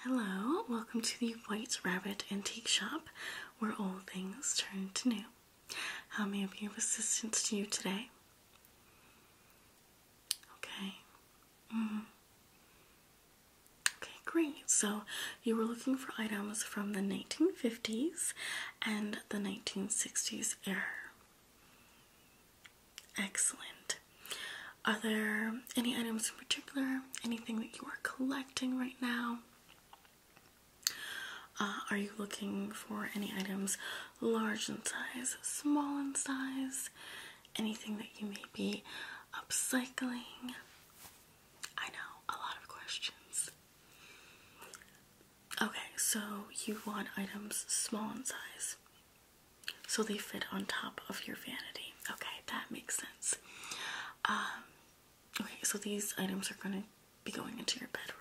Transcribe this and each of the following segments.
Hello, welcome to the White Rabbit Antique Shop, where old things turn to new. How may I be of assistance to you today? Okay. Mm-hmm. Okay, great. So you were looking for items from the 1950s and the 1960s era. Excellent. Are there any items in particular? Anything that you are collecting right now? Uh, are you looking for any items large in size, small in size? Anything that you may be upcycling? I know, a lot of questions. Okay, so you want items small in size so they fit on top of your vanity. Okay, that makes sense. Um, okay, so these items are going to be going into your bedroom.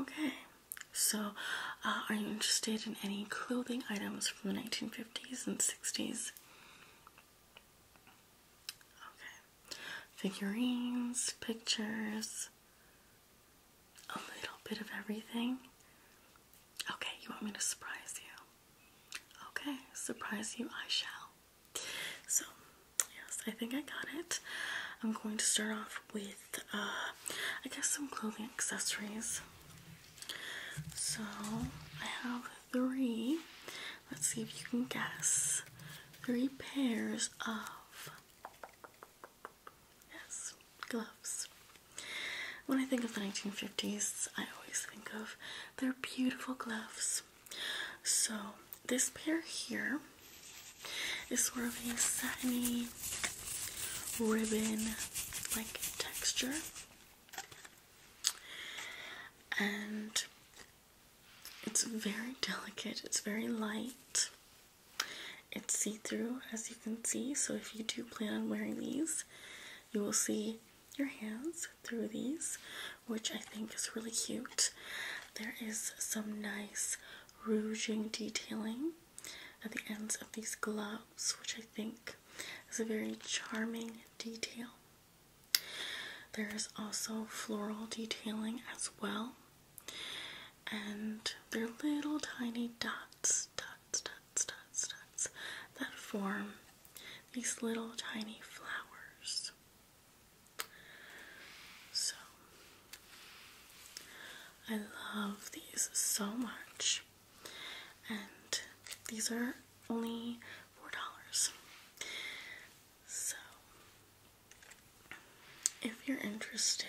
Okay, so uh, are you interested in any clothing items from the 1950s and 60s? Okay, figurines, pictures, a little bit of everything. Okay, you want me to surprise you? Okay, surprise you, I shall. So, yes, I think I got it. I'm going to start off with, uh, I guess some clothing accessories. So, I have three, let's see if you can guess, three pairs of, yes, gloves. When I think of the 1950s, I always think of their beautiful gloves. So, this pair here is sort of a satiny ribbon like texture. And it's very delicate, it's very light. It's see through, as you can see. So, if you do plan on wearing these, you will see your hands through these, which I think is really cute. There is some nice rouging detailing at the ends of these gloves, which I think is a very charming detail. There is also floral detailing as well. And they're little tiny dots, dots, dots, dots, dots, that form these little tiny flowers. So, I love these so much, and these are only four dollars. So, if you're interested,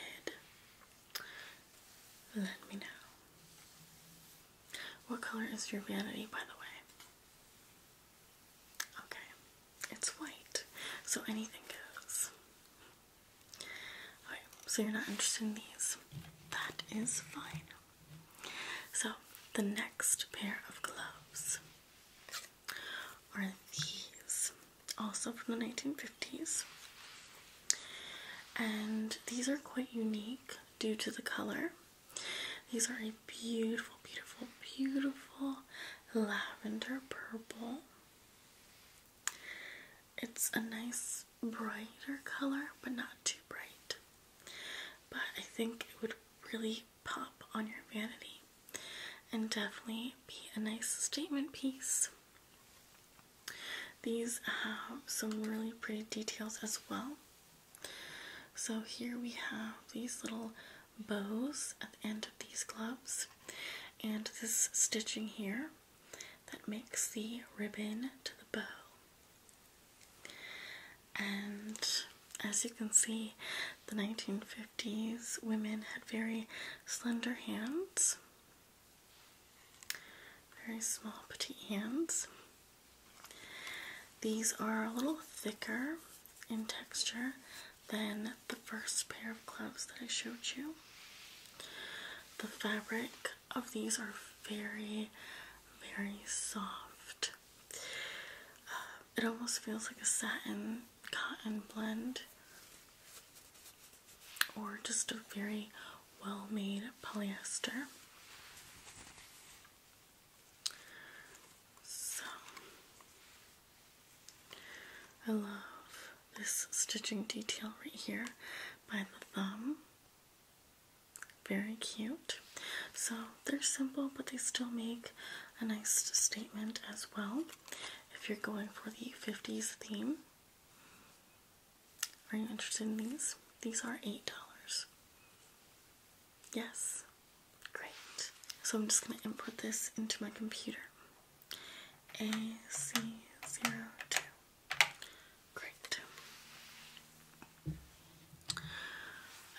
let me know. What color is your vanity, by the way? Okay, it's white, so anything goes. so you're not interested in these. That is fine. So, the next pair of gloves are these, also from the 1950s. And these are quite unique due to the color. These are a beautiful, beautiful, beautiful lavender purple. It's a nice brighter color, but not too bright. But I think it would really pop on your vanity and definitely be a nice statement piece. These have some really pretty details as well. So here we have these little bows at the end of these gloves and this stitching here that makes the ribbon to the bow. And as you can see, the 1950s women had very slender hands, very small petite hands, these are a little thicker in texture than the first pair of gloves that I showed you. The fabric of these are very, very soft. Uh, it almost feels like a satin cotton blend or just a very well made polyester. So I love this stitching detail right here by the thumb. Very cute. So they're simple, but they still make a nice statement as well if you're going for the 50s theme. Are you interested in these? These are $8. Yes. Great. So I'm just going to input this into my computer. AC02. Great.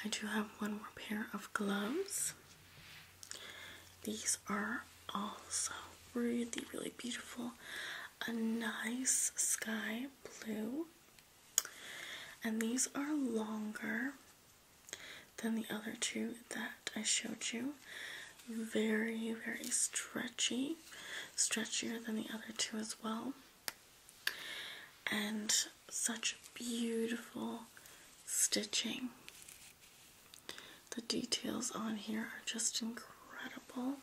I do have one more pair of gloves. These are also really, really beautiful. A nice sky blue and these are longer than the other two that I showed you. Very, very stretchy, stretchier than the other two as well. And such beautiful stitching. The details on here are just incredible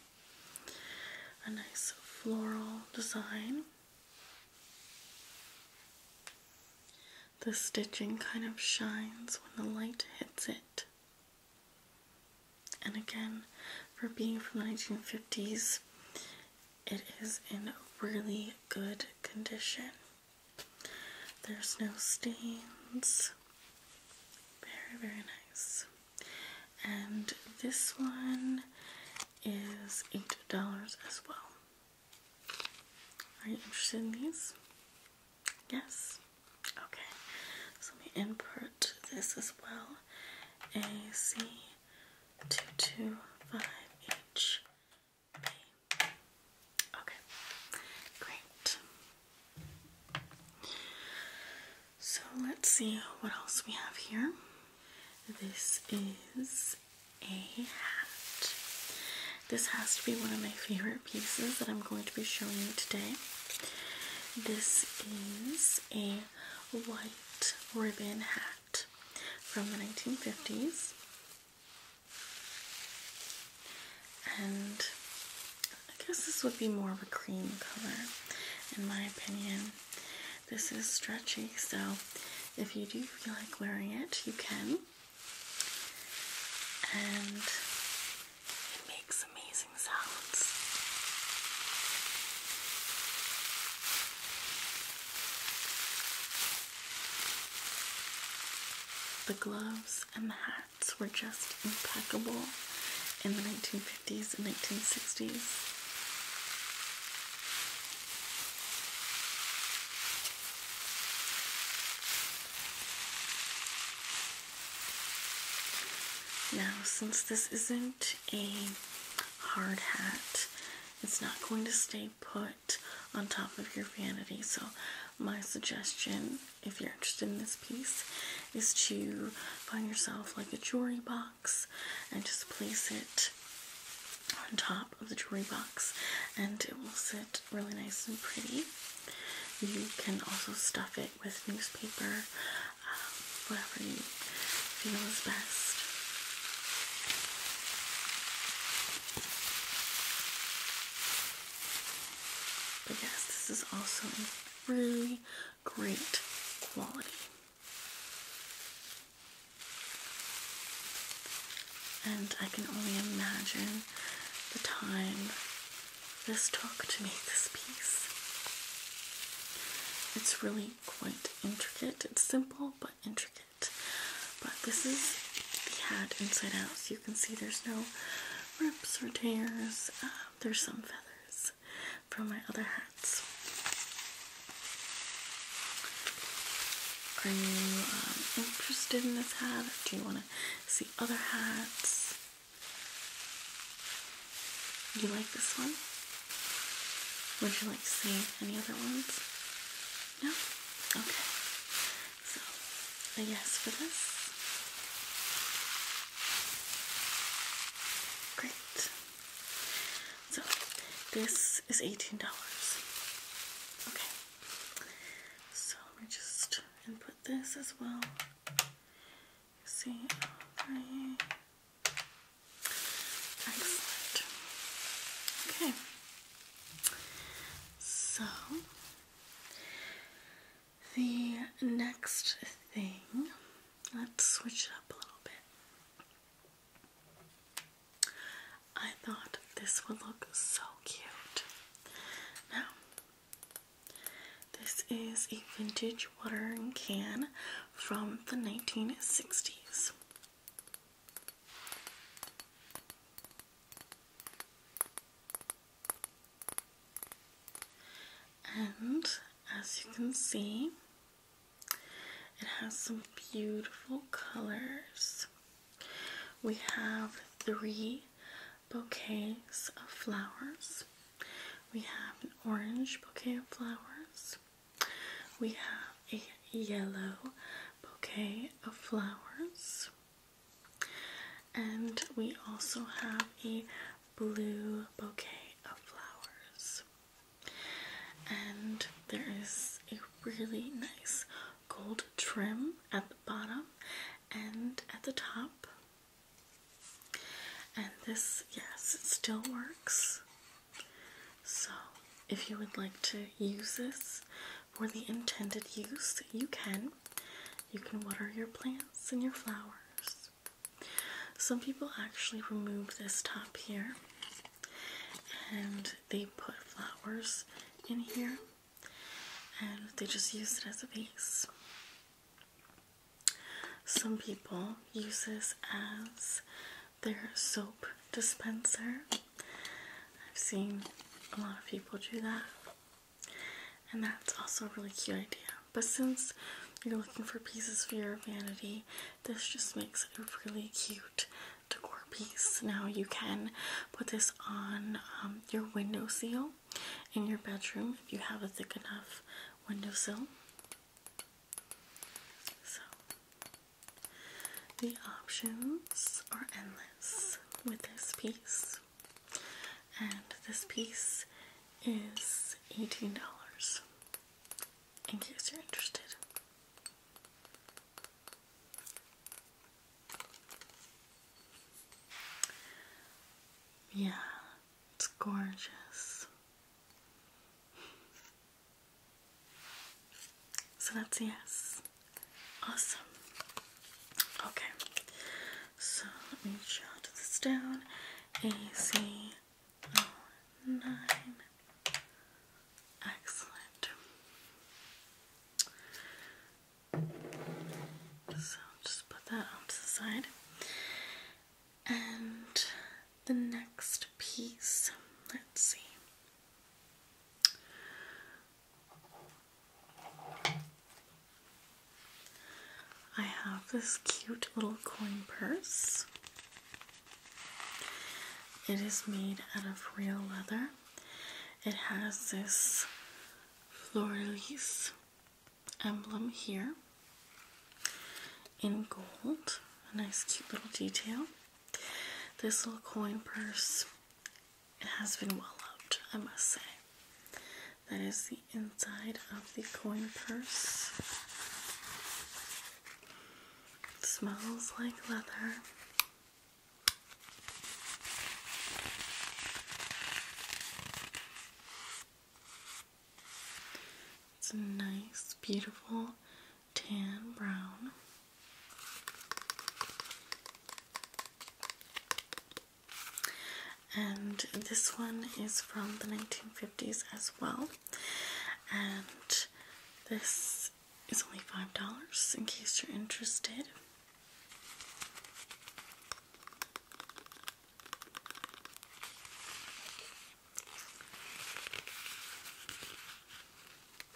a nice floral design. The stitching kind of shines when the light hits it. And again, for being from the 1950s, it is in really good condition. There's no stains. Very, very nice and this one is eight dollars as well. Are you interested in these? Yes? Okay. So let me input this as well. AC225H. Okay, great. So let's see what else we have here. This is a hat. This has to be one of my favorite pieces that I'm going to be showing you today. This is a white ribbon hat from the 1950s. And I guess this would be more of a cream color in my opinion. This is stretchy, so if you do feel like wearing it, you can. And it makes amazing sounds. The gloves and the hats were just impeccable in the 1950s 1950s and 1960s. Now, since this isn't a hard hat, it's not going to stay put on top of your vanity. So, my suggestion, if you're interested in this piece, is to find yourself like a jewelry box and just place it on top of the jewelry box and it will sit really nice and pretty. You can also stuff it with newspaper, um, whatever you feel is best. But yes, this is also a really great quality. And I can only imagine the time this took to make this piece. It's really quite intricate. It's simple but intricate. But this is the hat inside out, so you can see there's no rips or tears. Um, there's some feathers, from my other hats. Are you um, interested in this hat? Do you want to see other hats? You like this one? Would you like to see any other ones? No? Okay. So, a yes for this. Great. So this is $18. Okay. So let me just input this as well. See, right. Excellent. Okay. So the next thing Let's switch it up a little bit. I thought this would look so cute. Now, this is a vintage watering can from the 1960s. And as you can see, it has some beautiful colors. We have three bouquets of flowers. We have an orange bouquet of flowers. We have a yellow bouquet of flowers. And we also have a blue bouquet of flowers. And there is a really nice gold trim at the bottom and at the top. And this, yes, it still works. So, if you would like to use this for the intended use, you can. You can water your plants and your flowers. Some people actually remove this top here and they put flowers in here and they just use it as a vase. Some people use this as their soap dispenser. I've seen a lot of people do that, and that's also a really cute idea. But since you're looking for pieces for your vanity, this just makes a really cute decor piece. Now you can put this on um, your window seal in your bedroom if you have a thick enough windowsill. So the options are endless with this piece. And this piece is $18 in case you're interested. Yeah, it's gorgeous. So that's yes. Awesome. Okay. So let me jot this down. A C Oh, nine. Excellent. So just put that to the side. And the next piece, let's see. I have this cute little coin purse. It is made out of real leather. It has this fleur emblem here in gold. A nice cute little detail. This little coin purse has been well loved, I must say. That is the inside of the coin purse. smells like leather. It's a nice, beautiful tan brown. And this one is from the 1950s as well and this is only five dollars in case you're interested.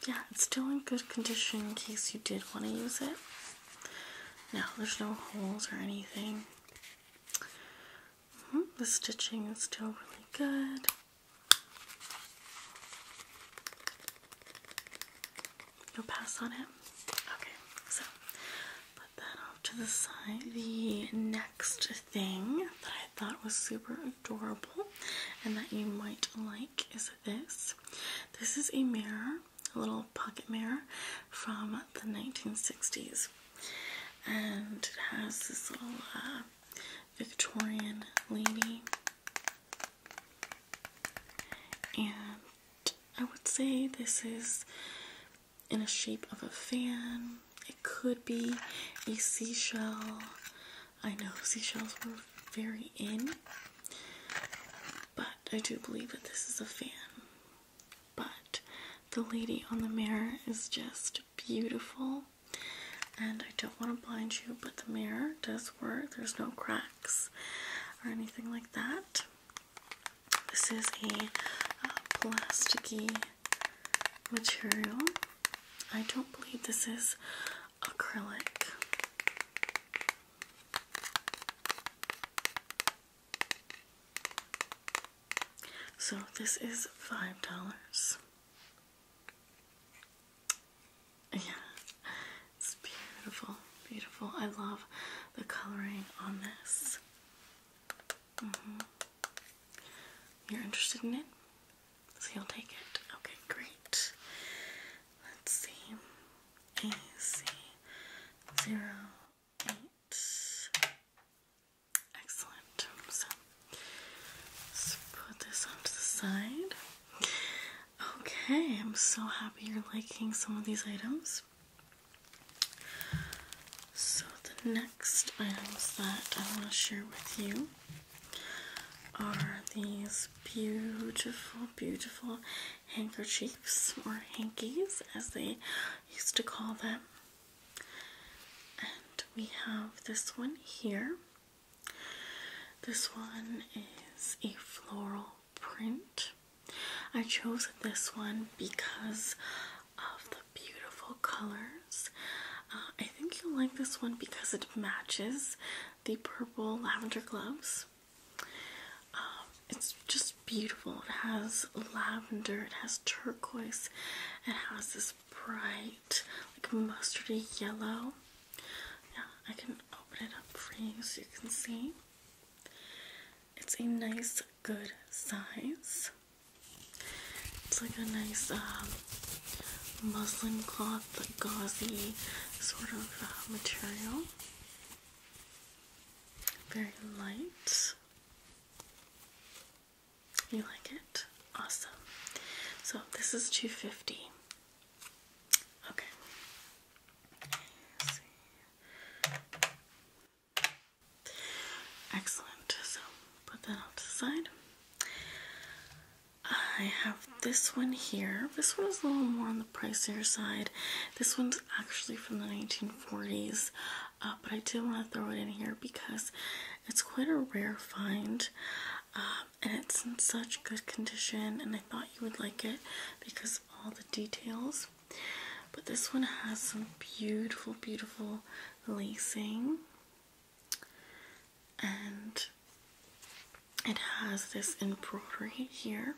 Yeah, it's still in good condition in case you did want to use it. No, there's no holes or anything. Hmm, the stitching is still really good. you pass on it? Okay, so put that off to the side. The next thing that I thought was super adorable and that you might like is this. This is a mirror, a little pocket mirror from the 1960s and it has this little uh, Victorian lady, and I would say this is in a shape of a fan. It could be a seashell. I know seashells were very in, but I do believe that this is a fan. But the lady on the mirror is just beautiful. And I don't want to blind you, but the mirror does work. There's no cracks or anything like that. This is a uh, plasticky material. I don't believe this is acrylic. So this is five dollars. Yeah, it's beautiful, beautiful. I love the coloring on this. Mm-hmm. You're interested in it? So you'll take it. Okay, great. Let's see. AC zero eight Excellent. So let's put this off the side. Okay, I'm so happy you're liking some of these items. So the next items that I want to share with you are these beautiful, beautiful handkerchiefs or hankies as they used to call them. And we have this one here. This one is a floral print. I chose this one because of the beautiful colors. Uh, I think you'll like this one because it matches the purple lavender gloves. Um, it's just beautiful. It has lavender, it has turquoise, it has this bright, like mustardy yellow. Yeah, I can open it up for you so you can see. It's a nice, good size. It's like a nice um, muslin cloth, like gauzy sort of uh, material. Very light. You like it? Awesome. So this is 250. Okay. Excellent. So put that off to the side. I have this one here. This one is a little more on the pricier side. This one's actually from the 1940s but I do want to throw it in here because it's quite a rare find um, and it's in such good condition. And I thought you would like it because of all the details. But this one has some beautiful, beautiful lacing, and it has this embroidery here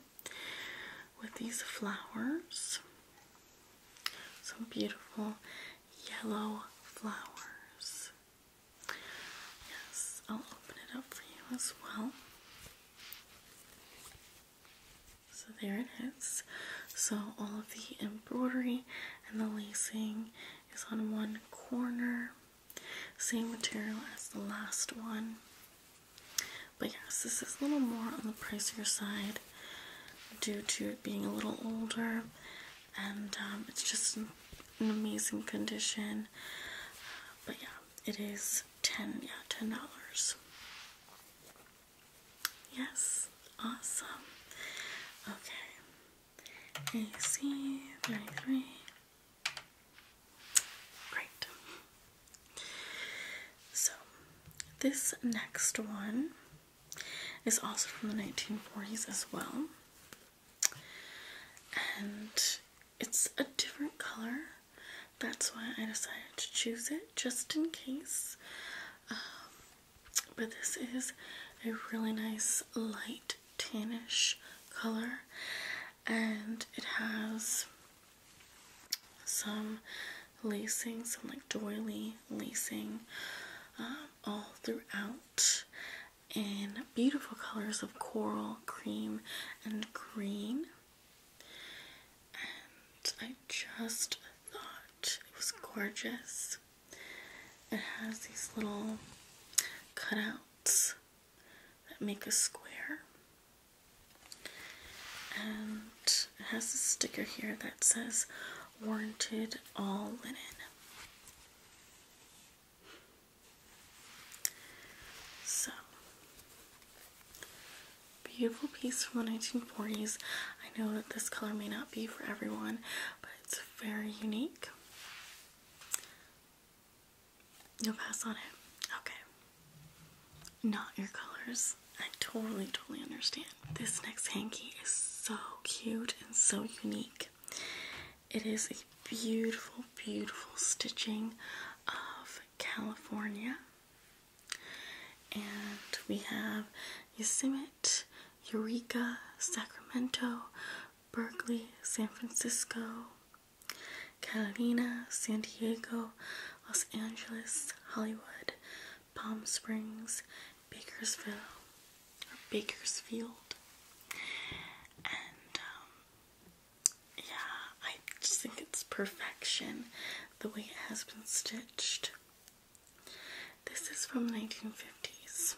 with these flowers. So beautiful yellow flowers. Yes, I'll open it up for you as well. So there it is. So all of the embroidery and the lacing is on one corner. Same material as the last one. But yes, this is a little more on the pricier side due to it being a little older, and um, it's just an amazing condition. But yeah, it is ten, yeah, ten dollars. Yes, awesome. Okay, AC thirty three. Great. So, this next one it's also from the 1940s as well. And it's a different color. That's why I decided to choose it just in case. Um, but this is a really nice light tannish color and it has some lacing, some like doily lacing um, all throughout in beautiful colors of coral, cream, and green. And I just thought it was gorgeous. It has these little cutouts that make a square. And it has a sticker here that says warranted all linen. So, beautiful piece from the 1940s. I know that this color may not be for everyone, but it's very unique. You'll pass on it. Okay. Not your colors. I totally, totally understand. This next hanky is so cute and so unique. It is a beautiful, beautiful stitching of California. And we have Yosemite, Eureka, Sacramento, Berkeley, San Francisco, Catalina, San Diego, Los Angeles, Hollywood, Palm Springs, Bakersfield, or Bakersfield. And um, yeah, I just think it's perfection the way it has been stitched. This is from 1950s.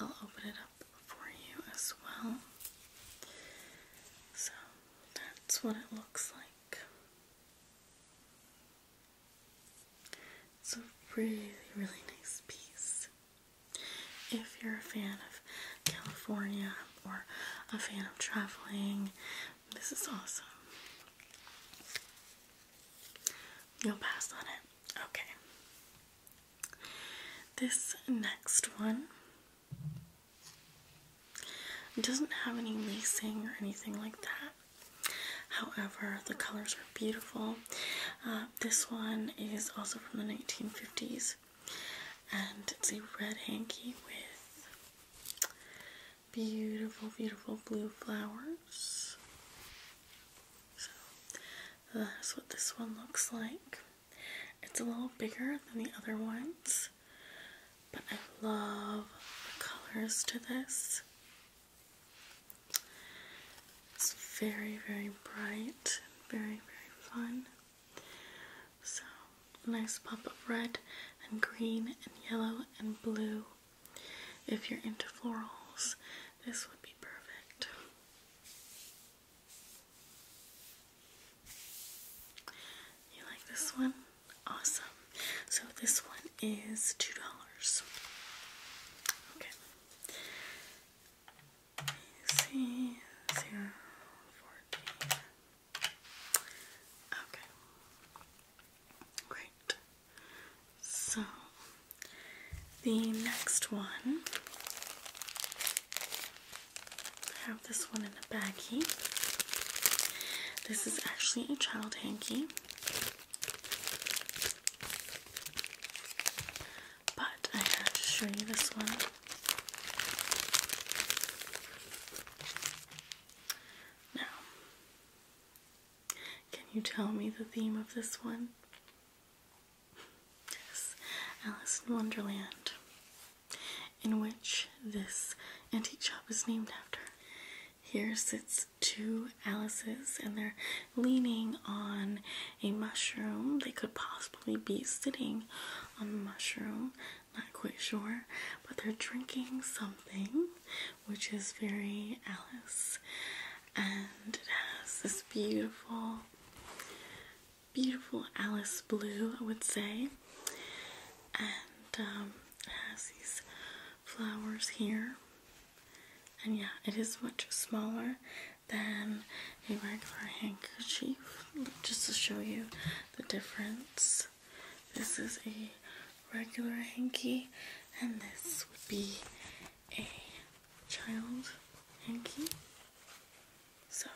I'll open it up for you as well. So that's what it looks like. It's a really, really nice piece. If you're a fan of California or a fan of traveling, this is awesome. You'll pass on it. Okay. This next one doesn't have any lacing or anything like that. However, the colors are beautiful. Uh, this one is also from the 1950s, and it's a red hanky with beautiful, beautiful blue flowers. So that's what this one looks like. It's a little bigger than the other ones, but I love the colors to this. It's very, very bright and very, very fun. So, nice pop of red and green and yellow and blue. If you're into florals, this would be perfect. You like this one? Awesome. So this one is two dollars. Okay. C Okay. Great. So the next one I have this one in a baggie. This is actually a child hanky. But I have to show you this one. Now, can you tell me the theme of this one? Yes, Alice in Wonderland, in which this antique shop is named after. Here sits two Alice's, and they're leaning on a mushroom. They could possibly be sitting on the mushroom, not quite sure, but they're drinking something which is very Alice, and it has this beautiful, beautiful Alice blue, I would say, and um, has these flowers here. And yeah, it is much smaller than a regular handkerchief, just to show you the difference. This is a regular hanky, and this would be a child hanky. So,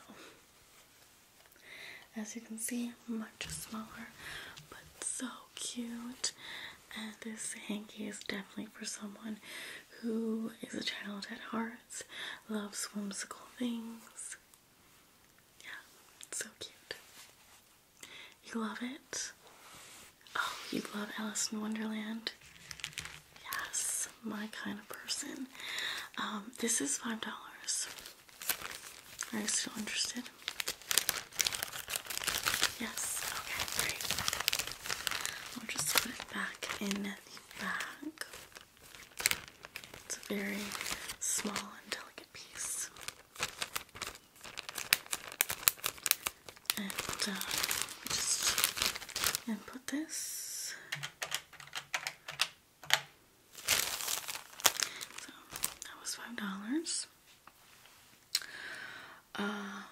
as you can see, much smaller, but so cute. And this hanky is definitely for someone who is a child at heart, loves whimsical things. Yeah, so cute. You love it? Oh, you love Alice in Wonderland? Yes, my kind of person. Um, this is $5. Are you still interested? Yes, okay, great. I'll just put it back in the bag. It's a very small and delicate piece. And uh, just and put this. So that was five dollars. Um,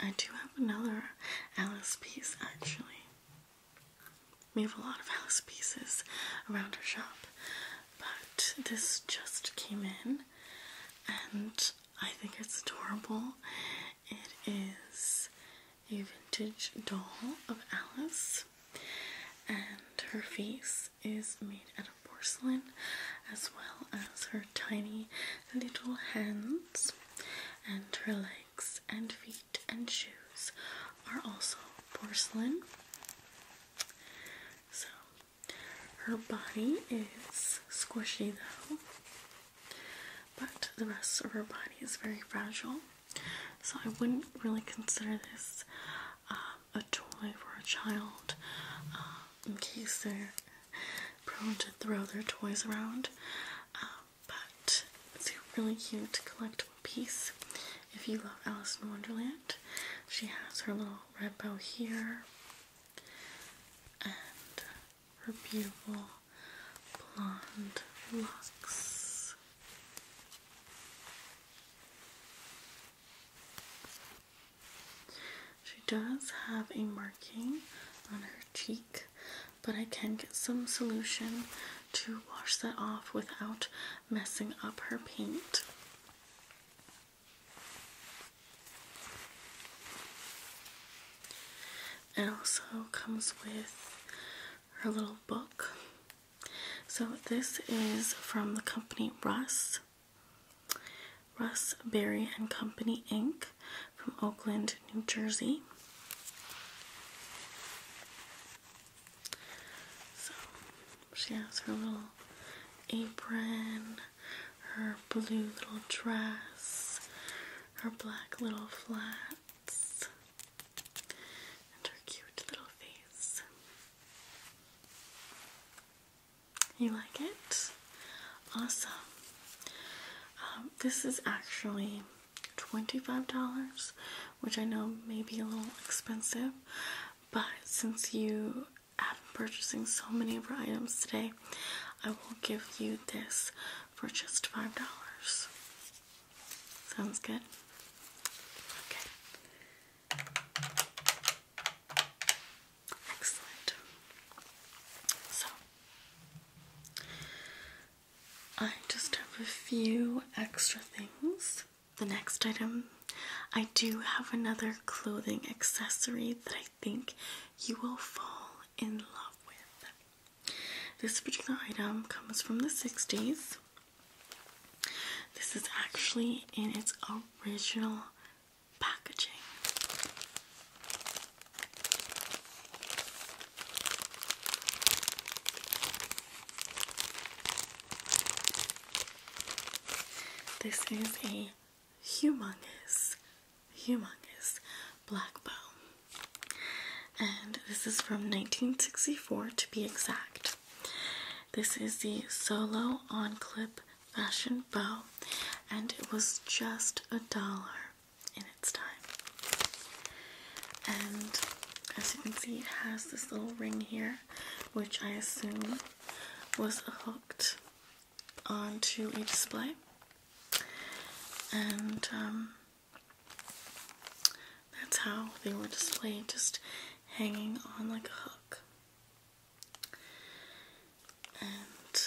I do have another Alice piece actually. We have a lot of Alice pieces around our shop, but this just came in and I think it's adorable. It is a vintage doll of Alice, and her face is made out of porcelain as well as her tiny little hands and her legs and feet and shoes are also porcelain. So her body is squishy though, but the rest of her body is very fragile. So I wouldn't really consider this um, a toy for a child uh, in case they're prone to throw their toys around. Uh, but it's a really cute collectible piece. If you love Alice in Wonderland, she has her little red bow here and her beautiful blonde locks. She does have a marking on her cheek, but I can get some solution to wash that off without messing up her paint. It also comes with her little book. So, this is from the company Russ. Russ Berry and Company Inc. from Oakland, New Jersey. So she has her little apron, her blue little dress, her black little flats, and her cute little face. You like it? Awesome. Um, this is actually $25, which I know may be a little expensive, but since you have been purchasing so many of our items today, I will give you this for just $5. Sounds good? Okay. Excellent. So, I just have a few extra things. The next item, I do have another clothing accessory that I think you will fall in love with. This particular item comes from the 60s. This is actually in its original packaging. This is a humongous, humongous black bow. And this is from 1964 to be exact. This is the Solo On Clip fashion bow, and it was just a dollar in its time. And as you can see, it has this little ring here, which I assume was hooked onto a display. And um, that's how they were displayed, just hanging on like a hook. And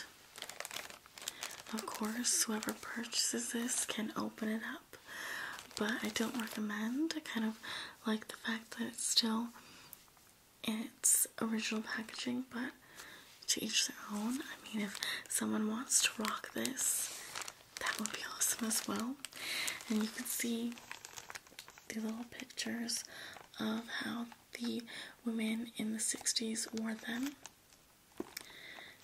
of course, whoever purchases this can open it up, but I don't recommend. I kind of like the fact that it's still its original packaging, but to each their own. I mean, if someone wants to rock this, that would be awesome as well. And you can see the little pictures of how the women in the 60s wore them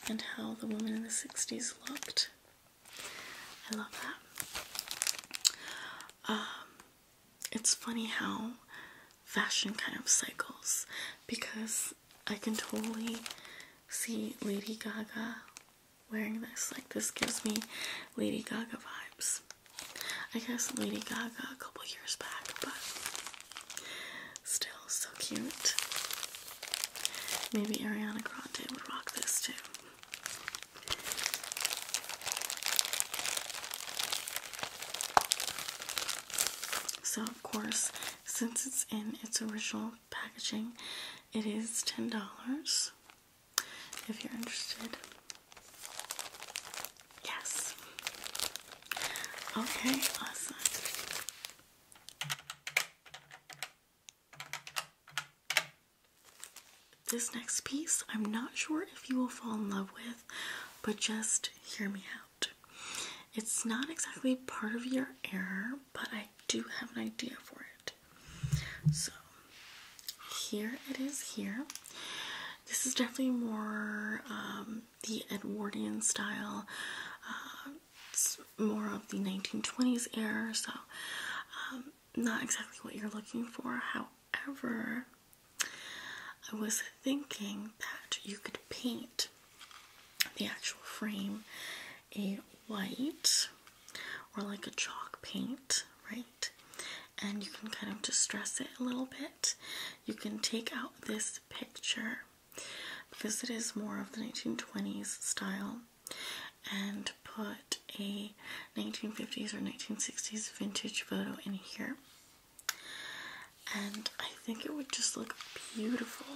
and how the women in the 60s looked. I love that. Um, it's funny how fashion kind of cycles because I can totally see Lady Gaga wearing this. Like, this gives me Lady Gaga vibes. I guess Lady Gaga a couple years back, but still so cute. Maybe Ariana Grande would rock this too. So, of course, since it's in its original packaging, it is $10 if you're interested. Yes. Okay, awesome. This next piece, I'm not sure if you will fall in love with, but just hear me out. It's not exactly part of your error, but I do have an idea for it. So, here it is here. This is definitely more um, the Edwardian style. it's uh, more of the 1920s era, so um, not exactly what you're looking for. However, I was thinking that you could paint the actual frame a white or like a chalk paint, right? and you can kind of distress it a little bit. You can take out this picture because it is more of the 1920s style and put a 1950s or 1960s vintage photo in here. And I think it would just look beautiful.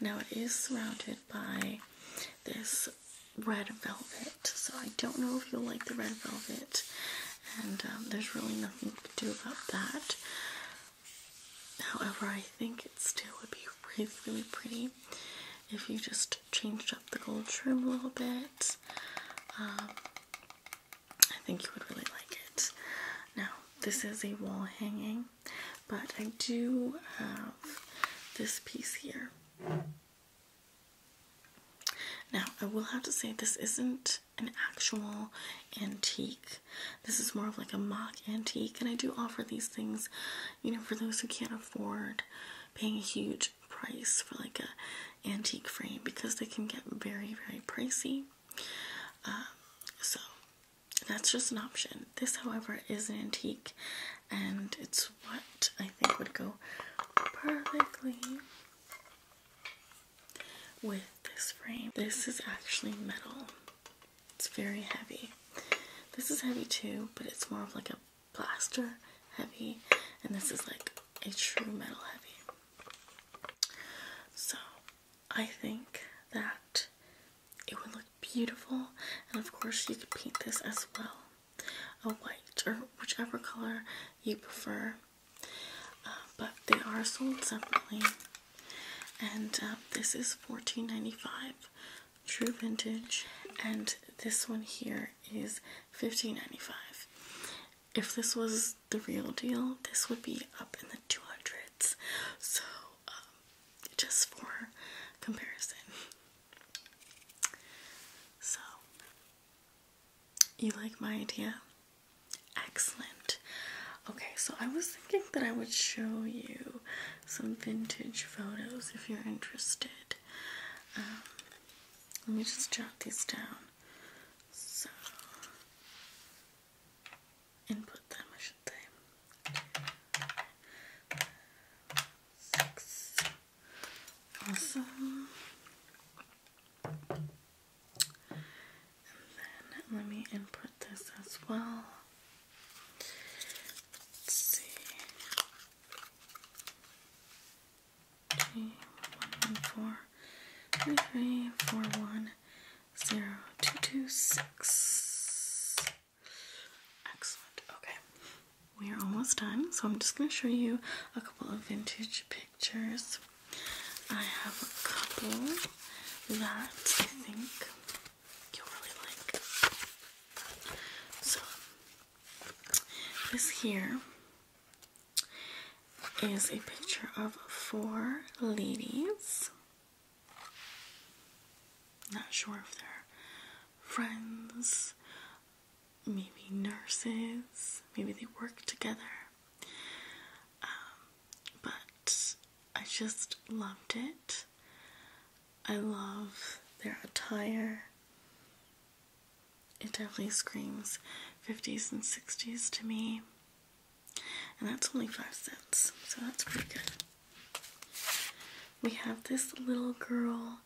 Now it is surrounded by this red velvet so I don't know if you'll like the red velvet, and um, there's really nothing to do about that. However, I think it still would be really, really pretty if you just changed up the gold trim a little bit. Um, I think you would really like it. Now, this is a wall hanging, but I do have this piece here. Now, I will have to say this isn't an actual antique. This is more of like a mock antique, and I do offer these things, you know, for those who can't afford paying a huge price for like a antique frame because they can get very, very pricey. Um, so that's just an option. This, however, is an antique, and it's what I think would go perfectly with this frame. This is actually metal. It's very heavy. This is heavy too, but it's more of like a plaster heavy, and this is like a true metal heavy. So I think that it would look beautiful, and of course you could paint this as well a white or whichever color you prefer. Uh, but they are sold separately. And um, this is 14.95, true vintage. And this one heres 15.95. If this was the real deal, this would be up in the 200s. So, um, just for comparison. So, you like my idea? Excellent. Okay, so I was thinking that I would show you some vintage photos if you're interested. Um, let me just jot these down. input them, I should Six, Awesome. then let me input this as well. Let's see. Three, one, four, three, three, four, one, zero, two, two, six. Excellent. Okay we are almost done, so I'm just going to show you a couple of vintage pictures. I have a couple that I think you'll really like. So, this here is a picture of four ladies. Not sure if they're friends maybe nurses, maybe they work together. Um, but I just loved it. I love their attire. It definitely screams 50s and 60s to me. And that's only five cents, so that's pretty good. We have this little girl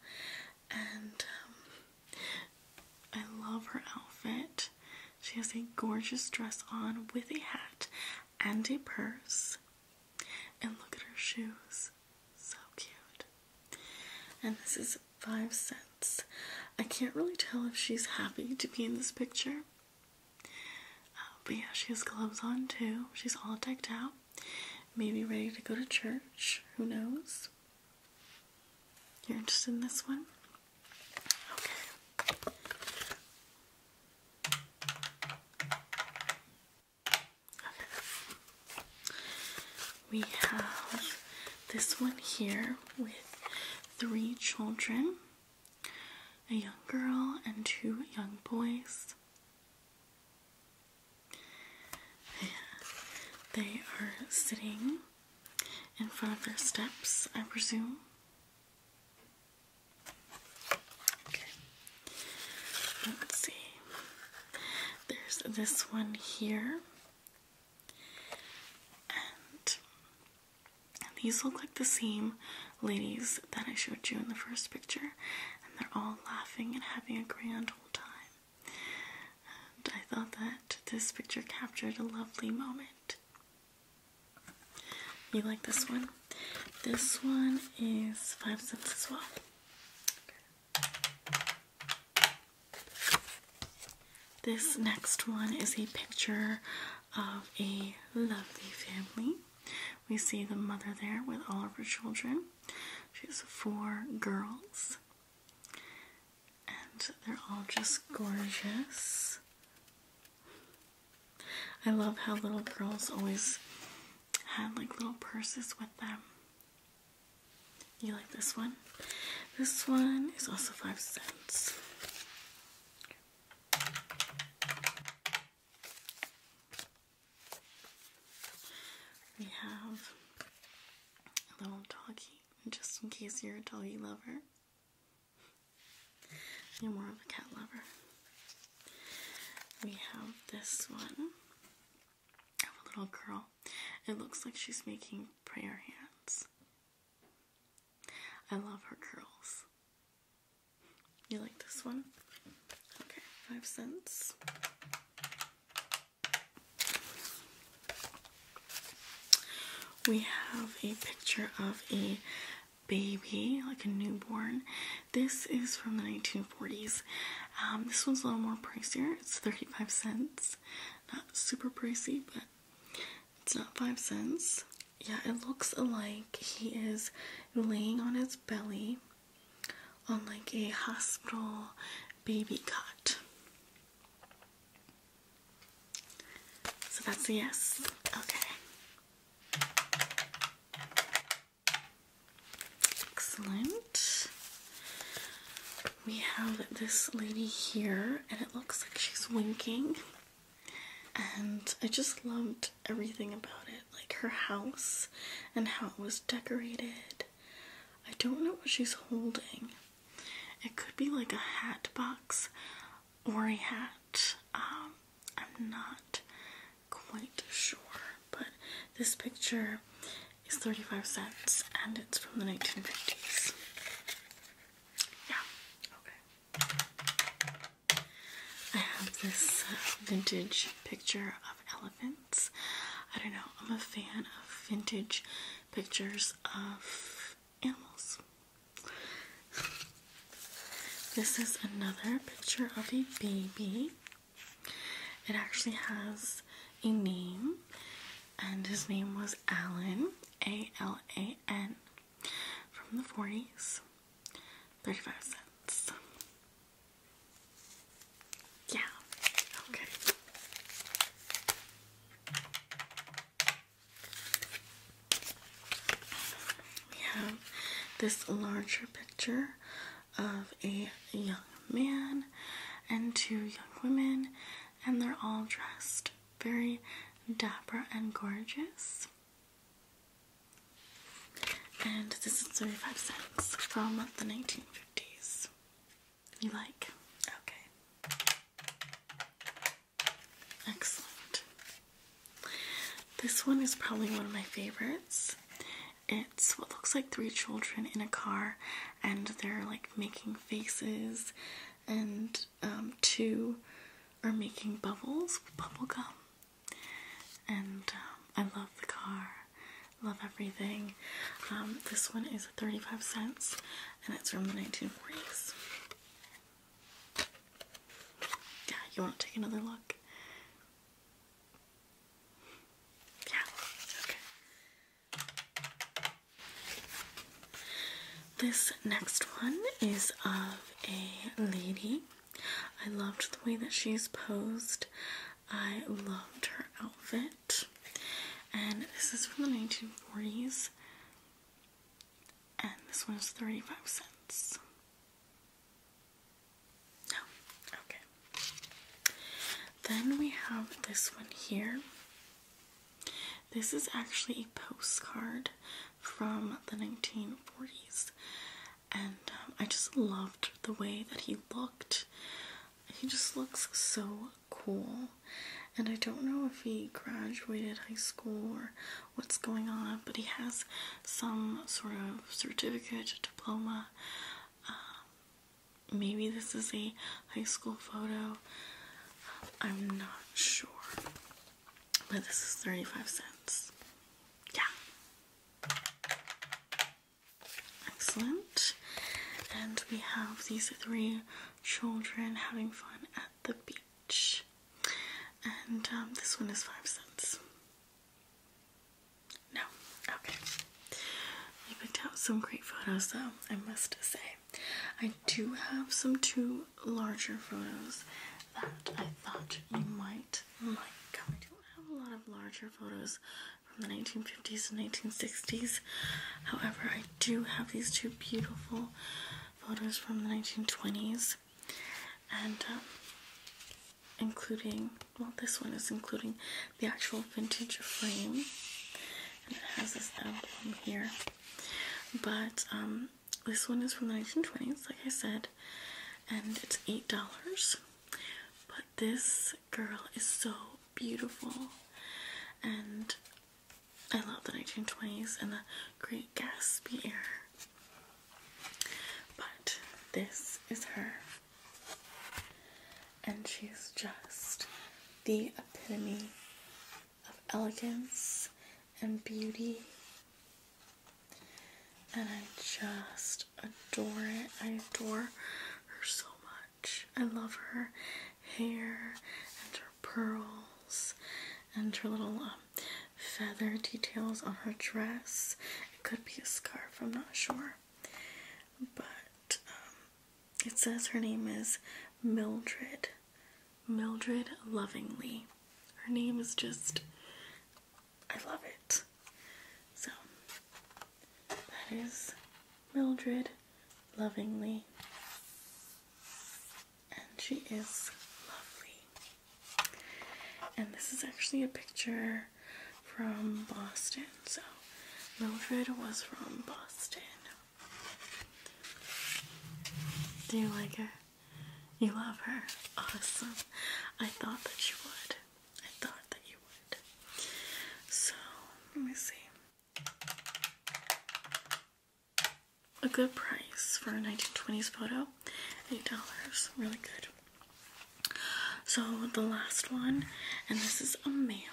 and um, I love her outfit. She has a gorgeous dress on with a hat and a purse. And look at her shoes. So cute. And this is five cents. I can't really tell if she's happy to be in this picture. Uh, but yeah, she has gloves on too. She's all decked out. Maybe ready to go to church. Who knows? You're interested in this one? Okay. We have this one here with three children a young girl and two young boys. They are sitting in front of their steps, I presume. Okay, let's see. There's this one here, and these look like the same ladies that I showed you in the first picture, and they're all laughing and having a grand old time. I thought that this picture captured a lovely moment. You like this one? This one is five cents as well. This next one is a picture of a lovely family. We see the mother there with all of her children. She has four girls and they're all just gorgeous. I love how little girls always had like little purses with them. You like this one? This one is also five cents. We have a little doggy just in case you're a doggy lover. You're more of a cat lover. We have this one of a little girl. It looks like she's making prayer hands. I love her curls. You like this one? Okay, five cents. We have a picture of a baby, like a newborn. This is from the 1940s. Um, this one's a little more pricier. It's 35 cents. Not super pricey, but it's not 5 cents. Yeah, it looks like he is laying on his belly on like a hospital baby cot. So that's a yes. Okay. Excellent. We have this lady here, and it looks like she's winking. And I just loved everything about it like her house and how it was decorated. I don't know what she's holding. It could be like a hat box or a hat. Um, I'm not quite sure, but this picture is 35 cents and it's from the 1950s. Yeah, okay. I have this uh, vintage picture of elephants. I don't know, I'm a fan of vintage pictures of animals. This is another picture of a baby. It actually has a name, and his name was Alan, A L A N, from the 40s. 35 cents. Yeah. Okay. We have this larger picture of a young man and two young women, and they're all dressed very dapper and gorgeous. And this is 35 cents from the 1950s. You like? Okay. Excellent. This one is probably one of my favorites. It's what looks like three children in a car, and they're like making faces, and um, two are making bubbles with bubble gum. And um, I love the car. Love everything. Um, this one is 35 cents and it's from the 1940s. Yeah, you want to take another look? Yeah, okay. This next one is of a lady. I loved the way that she's posed. I loved her outfit. And this is from the 1940s. And this one is 35 cents. No. Oh, okay. Then we have this one here. This is actually a postcard from the 1940s. And um, I just loved the way that he looked. He just looks so cool. And I don't know if he graduated high school or what's going on, but he has some sort of certificate, diploma. Um, maybe this is a high school photo. I'm not sure. But this is 35 cents. Yeah. Excellent. And we have these three children having fun at the beach. And um, this one is five cents. No, okay. You picked out some great photos though, I must say. I do have some two larger photos that I thought you might like. I don't have a lot of larger photos from the 1950s and 1960s. However, I do have these two beautiful photos from the 1920s, and um, including well, this one is including the actual vintage frame, and it has this emblem here. But um, this one is from the 1920s, like I said, and it's eight dollars. But this girl is so beautiful. And I love the 1920s and the Great Gatsby era. But this is her. And she's just the epitome of elegance and beauty. And I just adore it. I adore her so much. I love her hair and her pearls and her little um, feather details on her dress. It could be a scarf, I'm not sure. But um, it says her name is Mildred. Mildred Lovingly. Her name is just, I love it. So, that is Mildred lovingly. And she is lovely. And this is actually a picture from Boston. So Mildred was from Boston. Do you like her? You love her? Awesome. I thought that you would. I thought that you would. So, let me see a good price for a 1920s photo. $8. Really good. So the last one, and this is a male.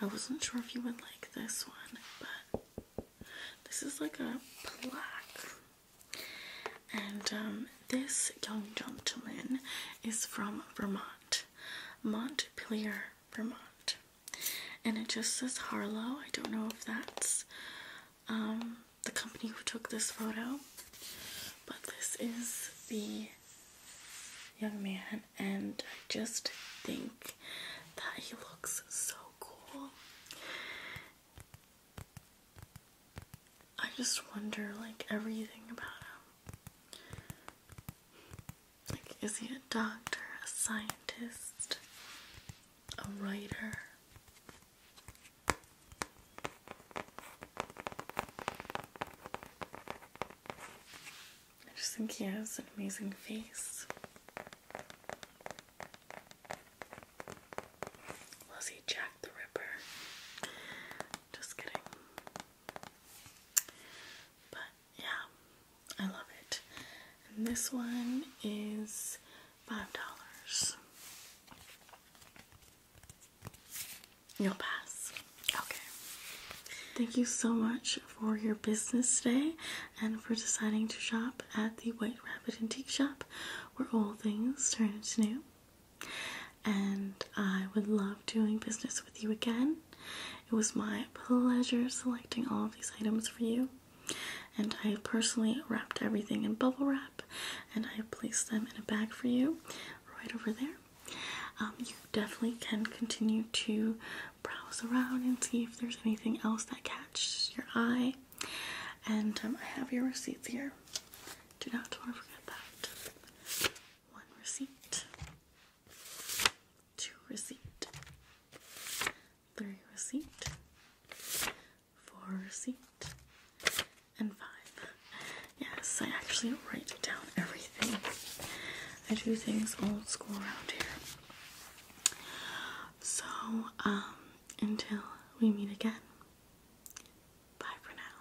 I wasn't sure if you would like this one, but this is like a plaque. And um, this young gentleman is from Vermont, Montpelier, Vermont. And it just says Harlow. I don't know if that's um, the company who took this photo, but this is the young man, and I just think that he looks so cool. I just wonder, like, everything about him. Like, is he a doctor, a scientist, a writer? I just think he has an amazing face. Was he Jack the Ripper? Just kidding. But yeah, I love it. And this one is five dollars. You'll pass. Okay. Thank you so much for your business today and for deciding to shop at the White Rabbit Antique Shop where all things turn to new. And I would love doing business with you again. It was my pleasure selecting all of these items for you, and I personally wrapped everything in bubble wrap and I have placed them in a bag for you right over there. Um, you definitely can continue to browse around and see if there's anything else that catches your eye. And um, I have your receipts here. Do not want to forget that. One receipt, two receipt, three receipt, four receipt, and five. Yes, I actually write down everything. I do things old school around here. So, um, until we meet again. Bye for now.